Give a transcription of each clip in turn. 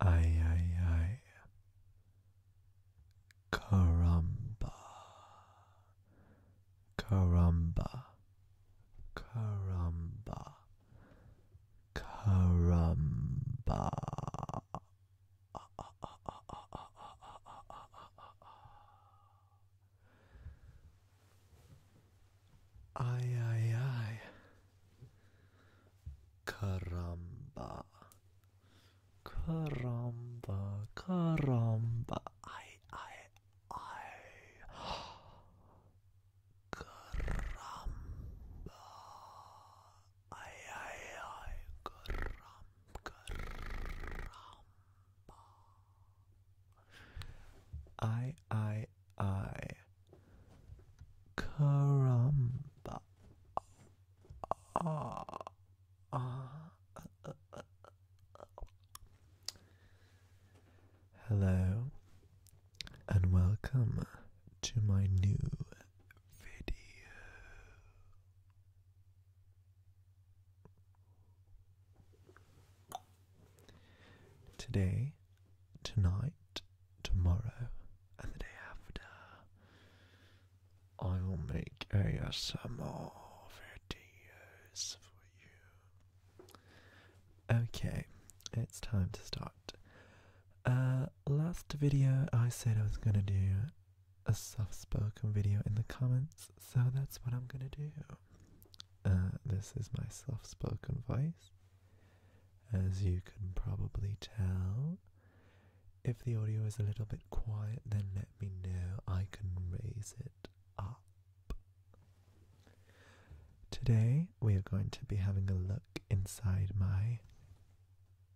I I I. Ay, ay, ay. Caramba. Caramba. Caramba. Caramba. I I I. Caramba. Caramba, caramba. Ay, ay, ay. Caramba. Ay, ay, ay. Caram, caramba. Ay, ay, I. Caramba. Ah, Hello and welcome to my new video. Today, tonight, tomorrow, and the day after, I will make ASMR videos for you. Okay, it's time to start. Uh, last video I said I was gonna do a soft-spoken video in the comments, so that's what I'm gonna do. Uh, this is my soft-spoken voice. As you can probably tell, if the audio is a little bit quiet, then let me know. I can raise it up. Today, we are going to be having a look inside my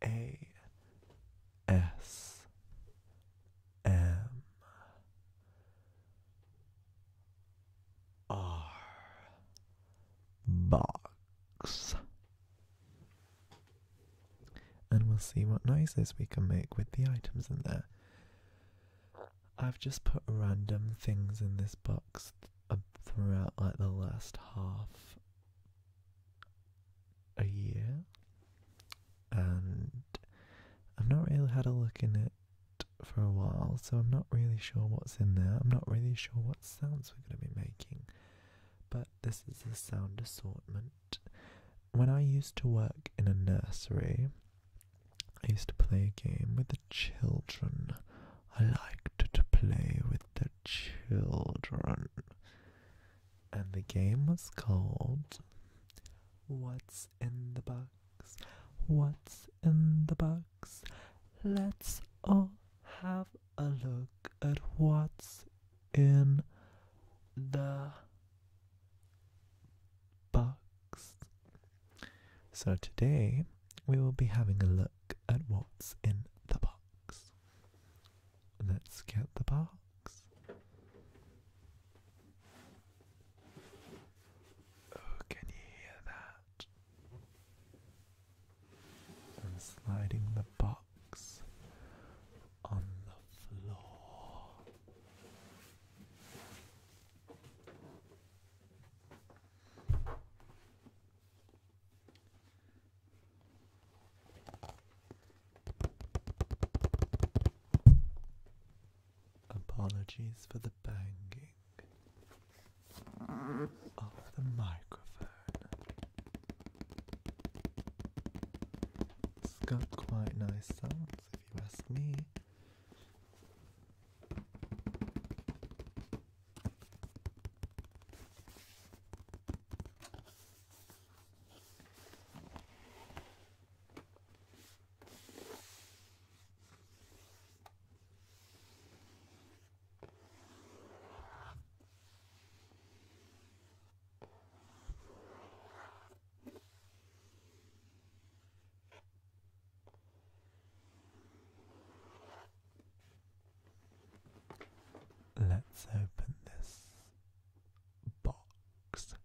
A S M R box. And we'll see what noises we can make with the items in there. I've just put random things in this box uh, throughout like the last half a year, and I've not really had a look in it for a while, so I'm not really sure what's in there. I'm not really sure what sounds we're going to be making, but this is a sound assortment. When I used to work in a nursery, I used to play a game with the children. I liked to play with the children. And the game was called What's in the Box? What's in the Box? Let's all have a look at what's in the box. So, today we will be having a look at what's in the box. Let's get the box. Oh, can you hear that? and sliding the box on the floor. Apologies for the banging of the microphone. It's got quite nice sounds, if you ask me. Let's open this box.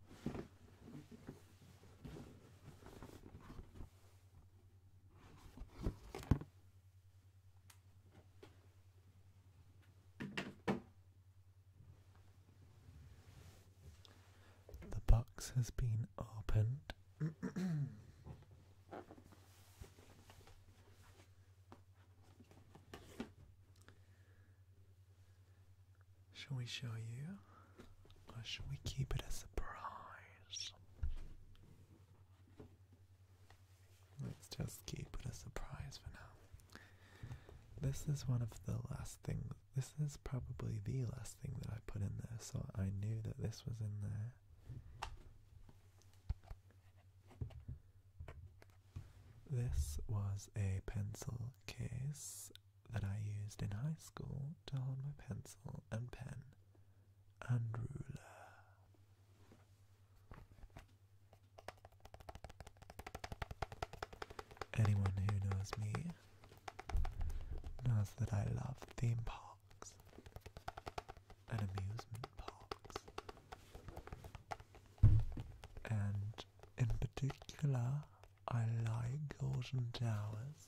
The box has been opened. shall we show you, or shall we keep it a surprise? Let's just keep it a surprise for now. This is one of the last things. This is probably the last thing that I put in there, so I knew that this was in there. This was a pencil case that I used in high school to hold my pencil and pen and ruler. Anyone who knows me knows that I love theme parks and amusement parks, and in particular, I like Golden Towers.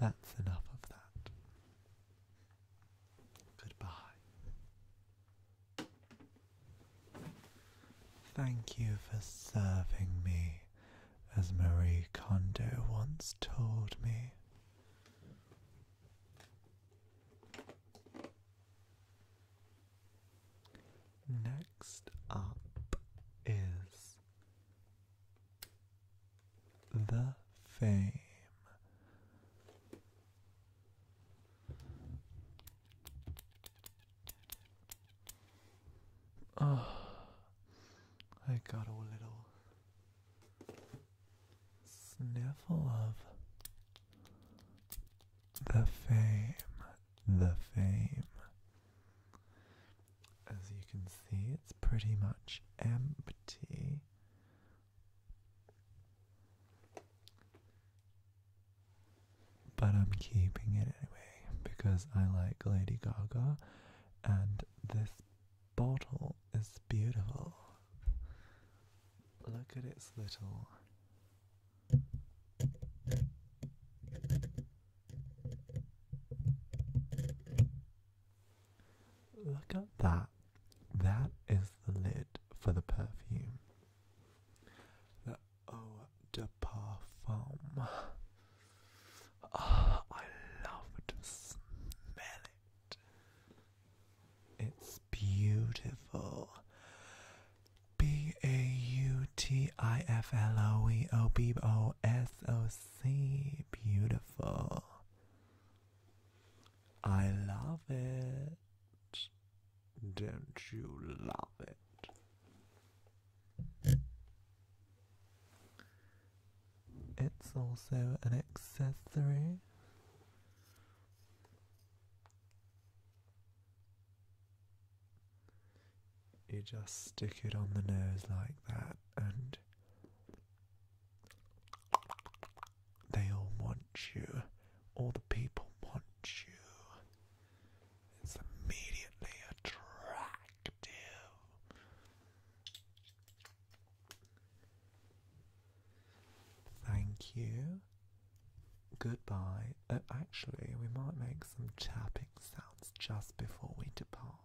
That's enough of that. Goodbye. Thank you for serving me, as Marie Kondo once told me. Next up is the fame. Oh, I got a little sniffle of the fame, the fame, as you can see, it's pretty much empty. But I'm keeping it anyway because I like Lady Gaga and this bottle is beautiful. Look at its little Look at that. That is the lid for the perfume. The Eau de Parfum. Ah, I love to smell it. It's beautiful. B A U T I F L O E O B O S O see, beautiful. I love it. Don't you love it? It's also an accessory you just stick it on the nose like that, and they all want you. All the people want you. It's immediately attractive. Thank you. Goodbye. Uh, actually, we might make some tapping sounds just before we depart.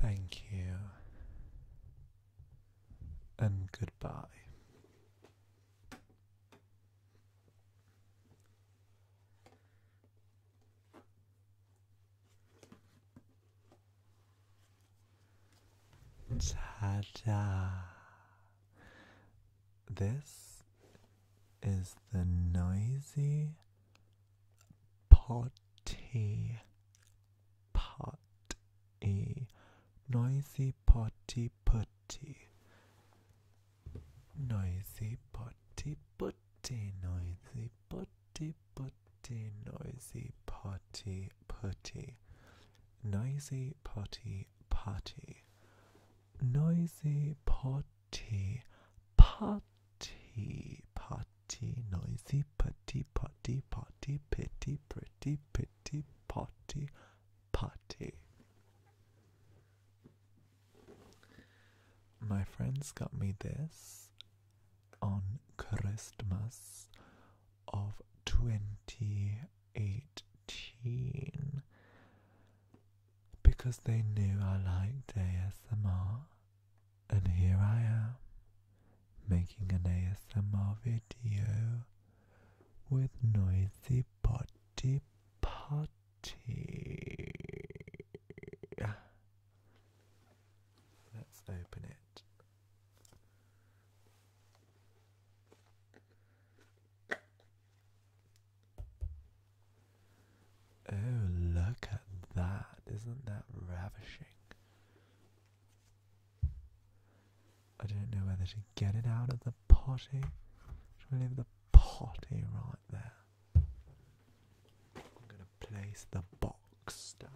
Thank you and goodbye. Tada! This is the noisy potty potty noisy potty potty, noisy potty potty, noisy potty putty, noisy potty, putty. Noisy potty, potty. Noisy potty, potty, potty. Noisy putty, potty, potty, pitty, pretty, pitty, potty, potty. My friends got me this on Christmas of 2018 because they knew I liked ASMR, and here I am making an ASMR video with Noisy party. Potty. Let's open it. Oh, look at that. Isn't that ravishing? I don't know whether to get it out of the potty. Should we leave the potty right there? I'm going to place the box looks down.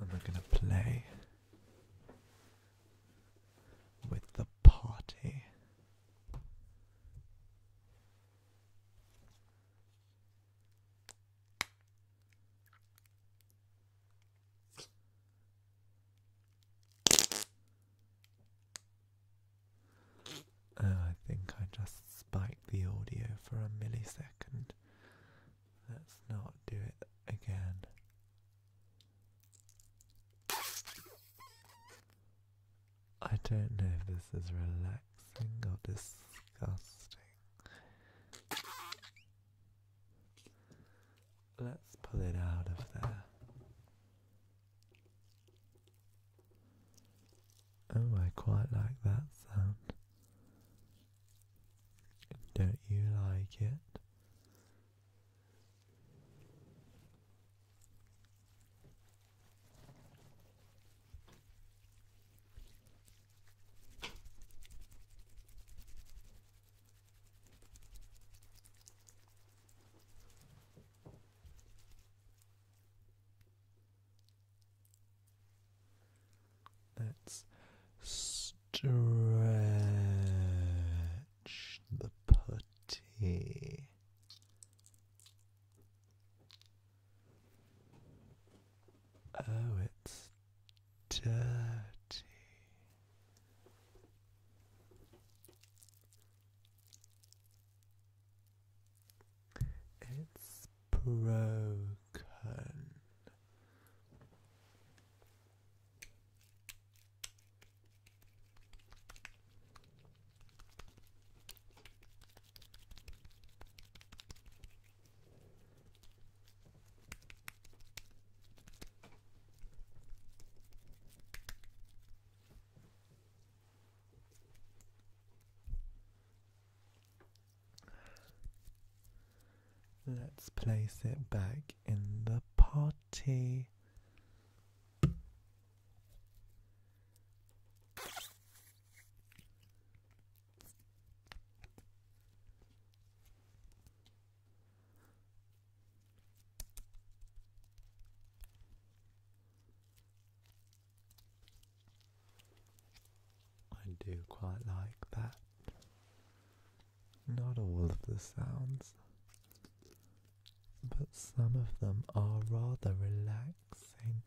And we're going to play with the party. Uh, I think I just spiked the audio for a millisecond. Let's not do it again. I don't know if this is relaxing or disgusting. Let's pull it out of there. Oh, I quite like that sound. Don't you like it? Let's stretch the putty. Oh, it's dirty. It's broken. Let's place it back in the party. I do quite like that. Not all of the sounds, but some of them are rather relaxing.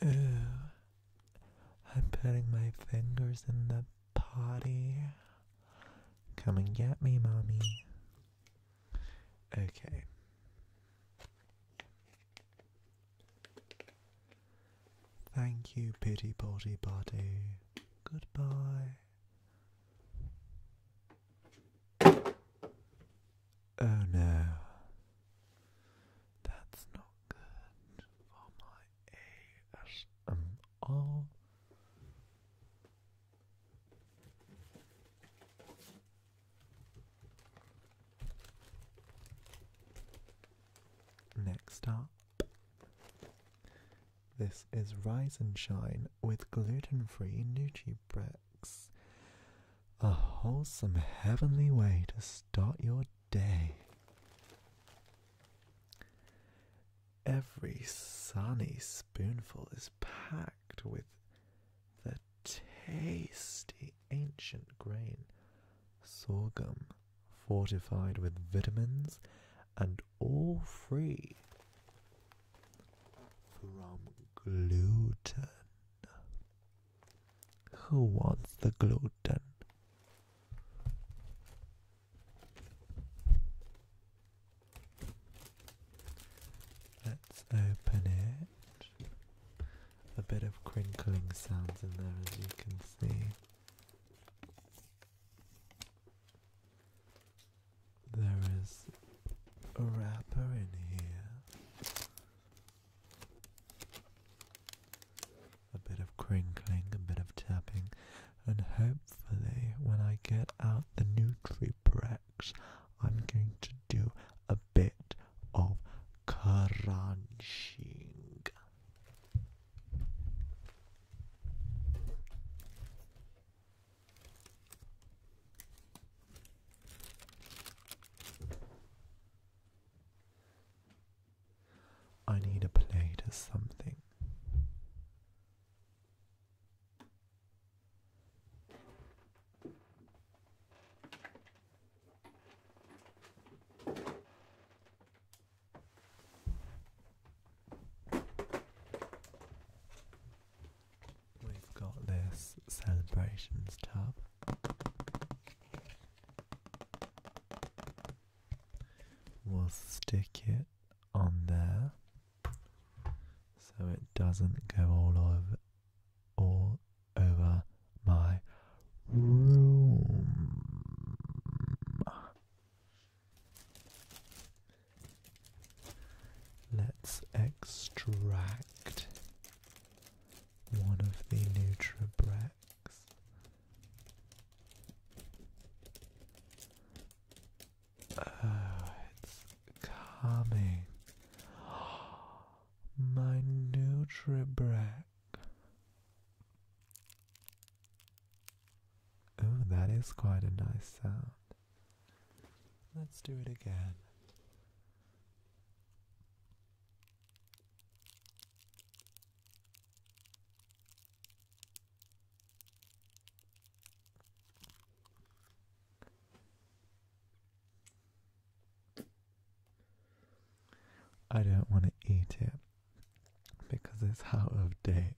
Ew. I'm putting my fingers in the potty. Come and get me, mommy. Okay. Thank you, Pity Potty body. Goodbye. Oh no. That's not good for my ASMR. Next up, this is Rise and Shine with gluten-free Nutri-Bricks. A wholesome, heavenly way to start your day. Every sunny spoonful is packed with the tasty ancient grain sorghum, fortified with vitamins and all free from gluten. Who wants the gluten? Let's open it. A bit of crinkling sounds in there as you can see. There is a wrapper in here. A bit of crinkling, a bit of tapping, and hopefully when I get out the Nutri-Prep I'm going to do a bit of crunching. I need a plate or something. We've got this celebrations tab. We'll stick it on there so it doesn't go all over all over my room. Let's extract one of the Nutribrex. Oh, it's calming. My Nutribrack. Oh, that is quite a nice sound. Let's do it again. I don't want to eat it because it's out of date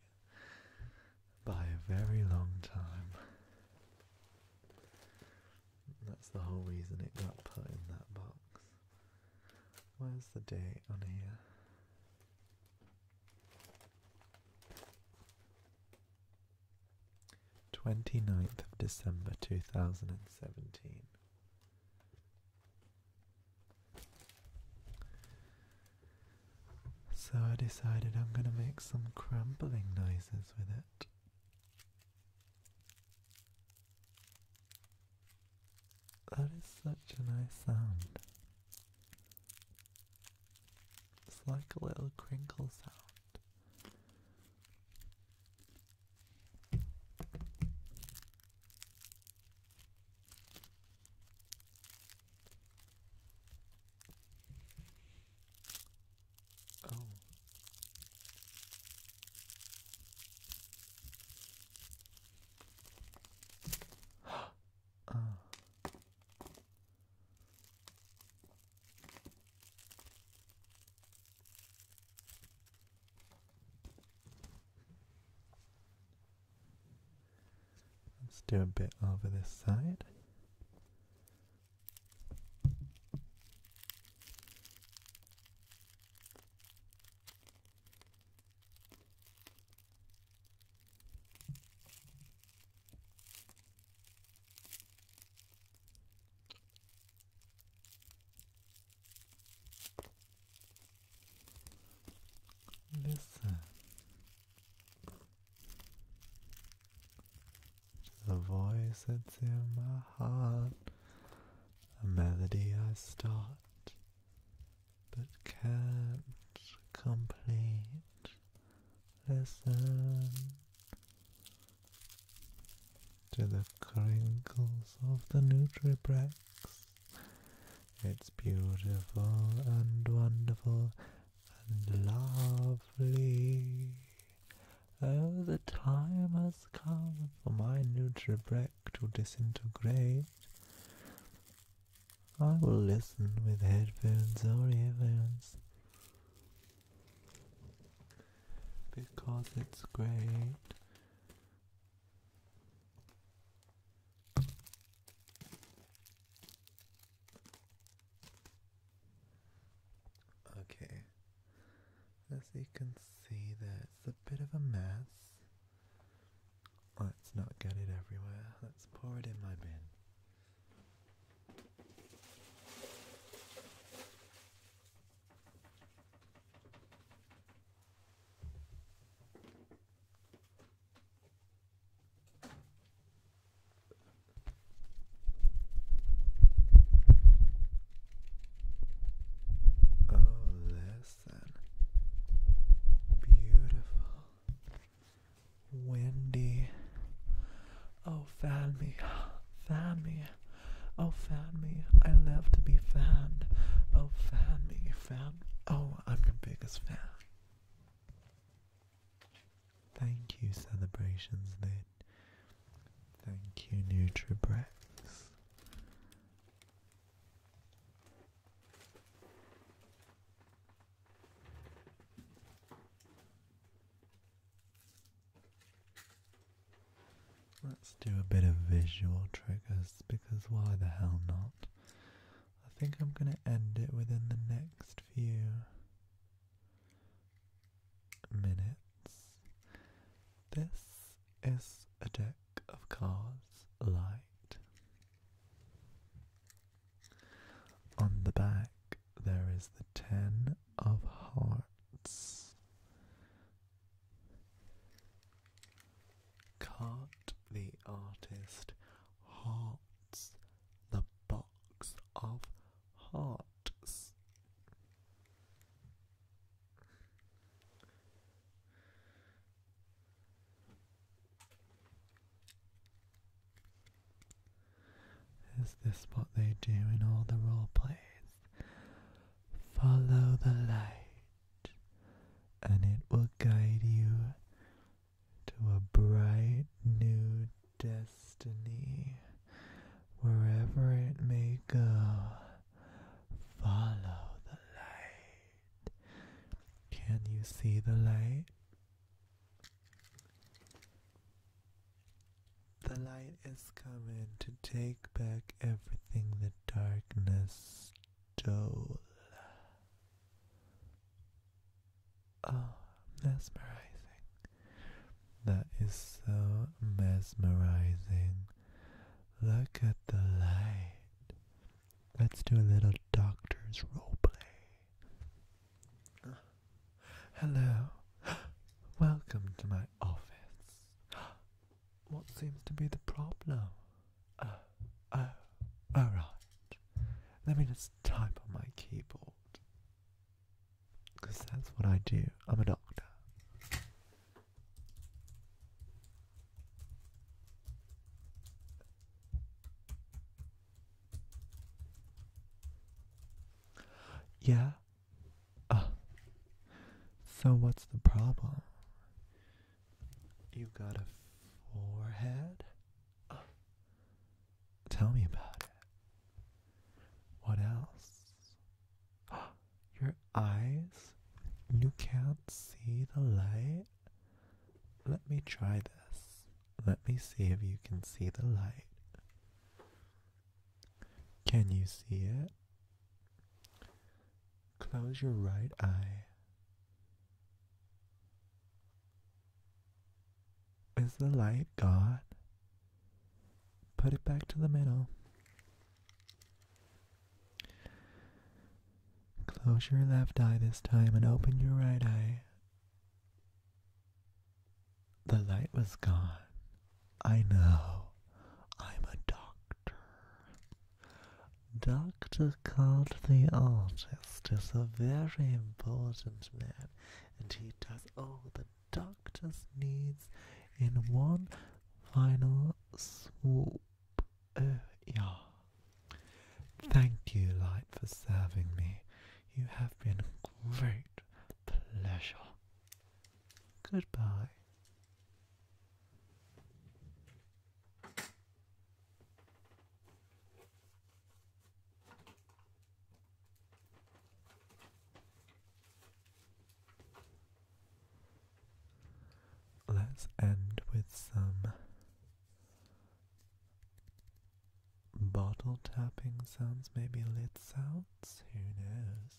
by a very long time. That's the whole reason it got put in that box. Where's the date on here? 29th of December 2017. So I decided I'm going to make some crumpling noises with it. That is such a nice sound. It's like a little crinkle sound. Oh. oh. Let's do a bit over this side. Listen the voice that's in my heart, a melody I start but can't complete. Listen to the crinkles of the Nutribrex. It's beautiful and wonderful and lovely. Oh, the time has come for my Nutribrex to disintegrate. I will listen with headphones or earphones because it's great. Okay, as you can see, there's a bit of a mess. Let's not get it everywhere, let's pour it in my bin. Oh, listen. Beautiful. Windy. Oh, fan me. find me Oh, fan me. I love to be fanned. Oh, fan me, fan. Oh, I'm your biggest fan. Thank you, Celebrations then. Thank you, NutriBrex. Let's do a bit of visual triggers because why the hell not? I think I'm going to end it within the next few minutes. This is a deck of cards light. On the back, there is the 10 of Hearts. can the artist hearts the box of hearts? Is this what they do in all the role plays? Follow the light, and it will guide you to a bright new destiny. Wherever it may go, follow the light. Can you see the light? The light is coming to take back everything the darkness stole. Oh, mesmerizing. That is so mesmerizing. Look at the light. Let's do a little doctor's role play. Hello. Welcome to my office. What seems to be the problem? Oh, uh, oh, uh, alright. Let me just type on my keyboard. Because that's what I do. I'm a doctor. Yeah, Ah. so, what's the problem? You got a forehead? Ah. tell me about it. What else? Your eyes? You can't see the light? Let me try this. Let me see if you can see the light. Can you see it? Close your right eye. Is the light gone? Put it back to the middle. Close your left eye this time and open your right eye. The light was gone. I know. I'm a doctor. Dr. Card the artist is a very important man, and he does all the doctor's needs in one final swoop. Oh, yeah. Thank you, Light, for serving me. You have been a great pleasure. Goodbye. Let's end with some bottle tapping sounds, maybe lid sounds, who knows?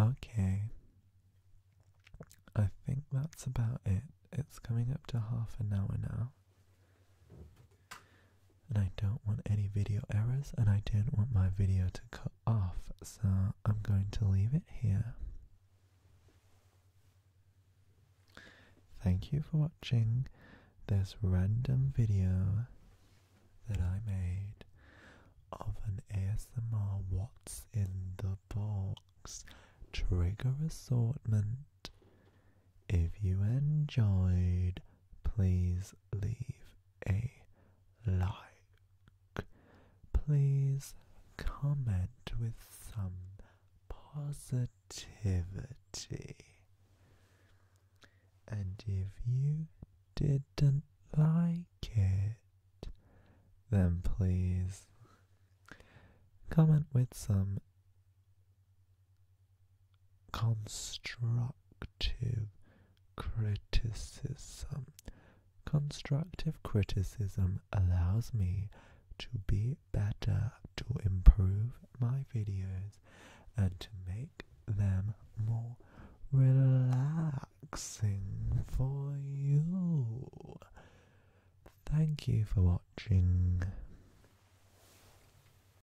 Okay, I think that's about it. It's coming up to half an hour now. And I don't want any video errors, and I don't want my video to cut off, so I'm going to leave it here. Thank you for watching this random video that I made of an ASMR What's in the Box trigger assortment if you enjoyed, please leave a like. Please comment with some positivity. And if you didn't like it, then please comment with some constructive criticism. Constructive criticism allows me to be better, to improve my videos, and to make them more relaxing for you. Thank you for watching.